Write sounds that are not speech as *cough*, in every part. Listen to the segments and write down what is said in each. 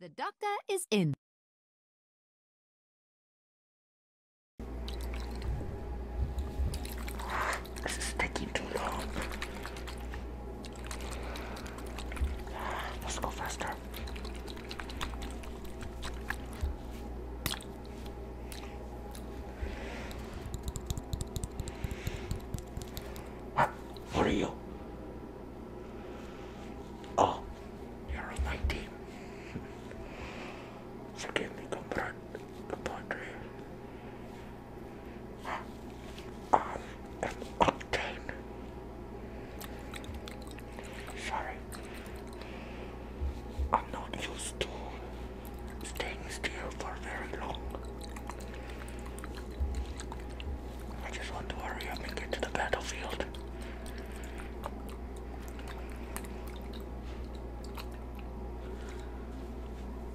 The doctor is in. This is taking too long. Let's go faster. What? What are you? Oh, you're on my team. Forgive me, compadre. compadre. Ah, I am Octane. Sorry. I'm not used to staying still for very long. I just want to hurry up and get to the battlefield.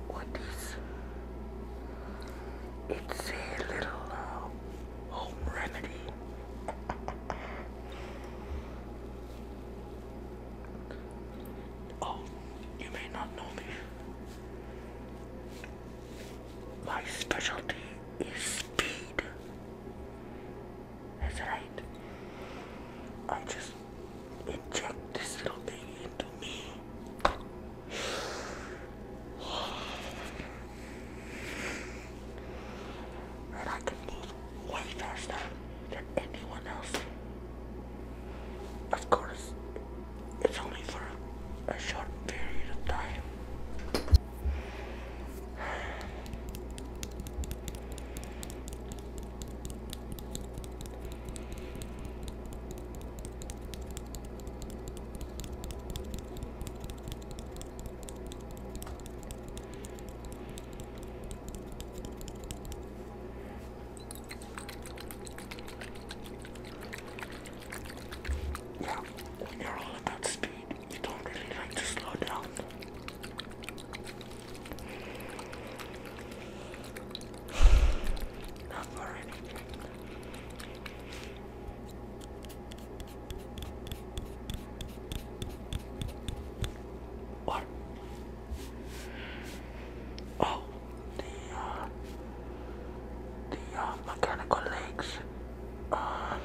What is it's a little uh, remedy. oh, you may not know me my specialty is speed. That's right. I just inject this little thing into me. And I can move way faster than anyone else. Of course, it's only for a short period of time. Yeah, you're all about speed, you don't really like to slow down. *sighs* Not for anything. What? Oh, the uh, the uh, mechanical legs. Um,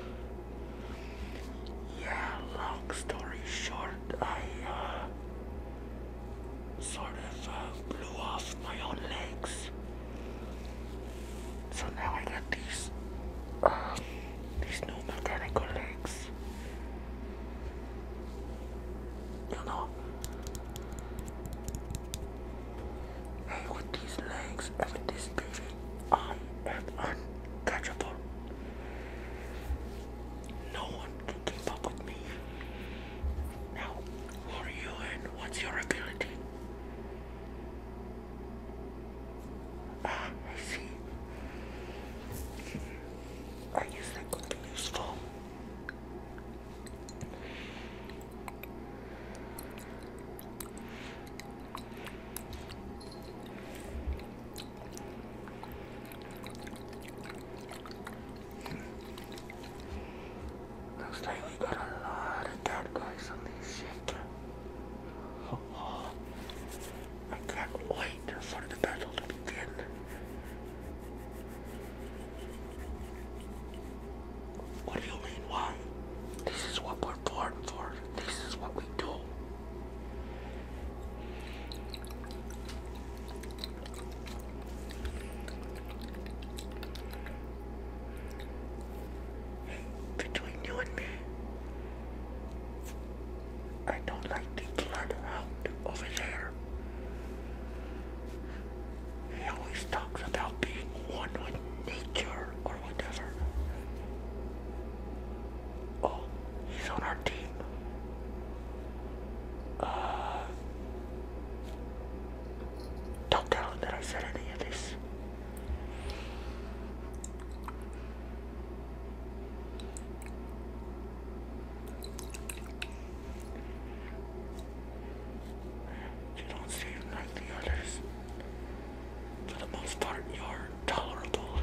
yeah, long story short, I uh, sort of uh, blew off my own legs. So now I got these, uh, these new mechanical legs. You know, Hey, with these legs and with this beard, I am untouchable. No one can keep up with me. Now, who are you and what's your ability? Ah, I see. I guess that could be useful. Looks like we got a lot of dead guys on this ship. oh. *laughs* I can't wait for the battle to begin. What do you mean why? This is what we're born for. This is what we do. Between you and me, I don't like the blood out over there. He always talks about being one with nature or whatever. Oh, he's on our team. Uh, don't tell him that I said any of this. You don't seem like the others. For the most part, you're tolerable.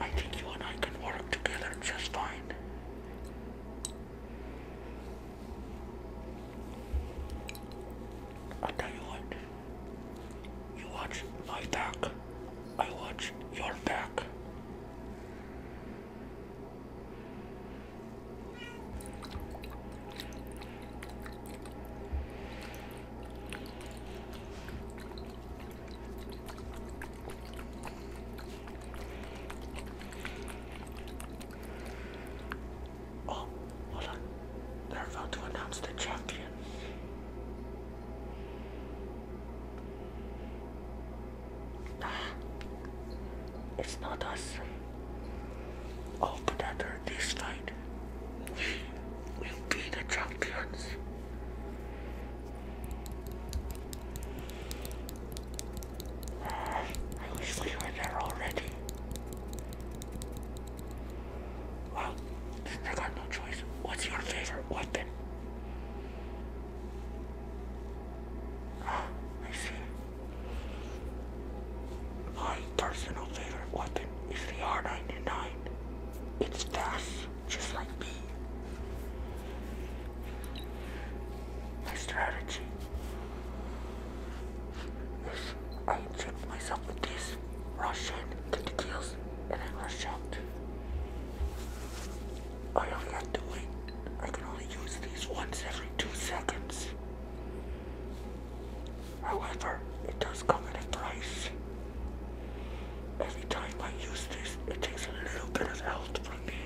I think you and I can work together just fine. i tell you what. You watch my back. I watch your back. Oh, hold on. They're about to announce the champion it's not us. Oh, but after this night. we will be the champions. I wish we were there already. Well, I got no choice. What's your favorite weapon? I see. My personal favorite weapon is the R99. It's fast, just like me. My strategy is I inject myself with this, rush in, get the kills, and then rush out. I only have to wait. I can only use these once every two seconds. However, it does come at a price. Every time I use this, it takes a little bit of health from me.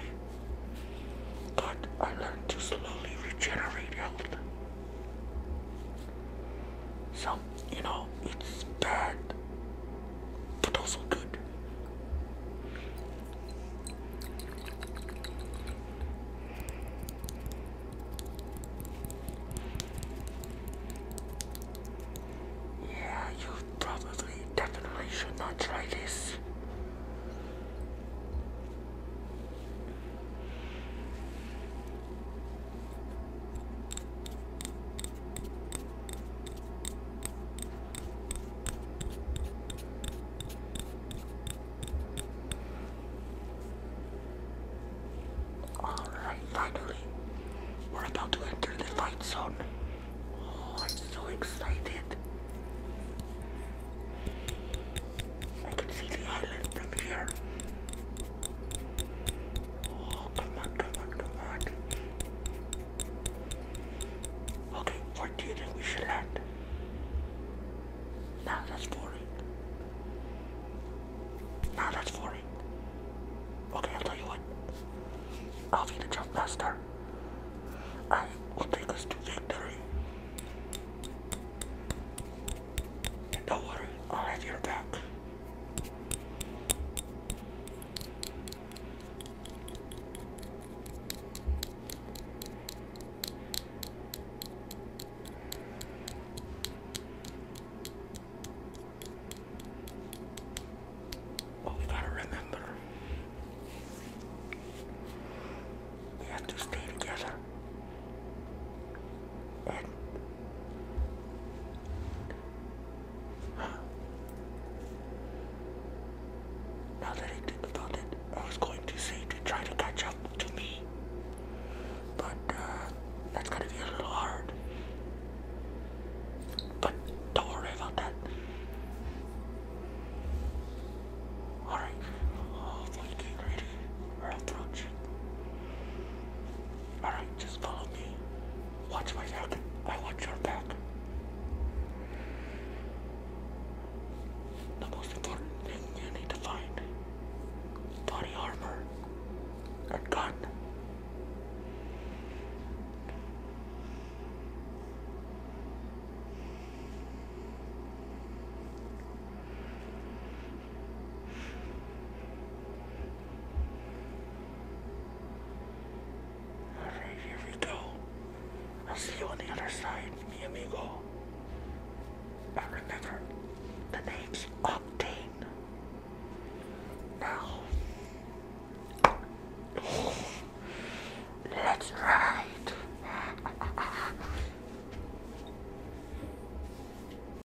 But I learned to slowly regenerate health. So, you know, it's bad but also good. Yeah, you probably definitely should not try this. Alright, finally, we're about to enter the fight zone. Oh, I'm so excited. I can see the island from here. Oh, come on, come on, come on. Okay, what do you think we should land? Now that's boring. Now that's boring. Okay, I'll tell you what. I'll be the jump master. I will take us to victory. don't worry, I'll have your back. Oh, gotta remember, we have to stay together now that I think about it, I was going to say to try to catch up to me, but uh, that's gonna be a little hard. But don't worry about that. Alright, oh, let ready. We're approaching. Alright, just follow me. Watch my back. I want your back. The most important thing you need to find body armor and gun. Alright, here we go. I'll see you on the other side, amigo. But remember, the name's Octane. Now, let's ride. *laughs*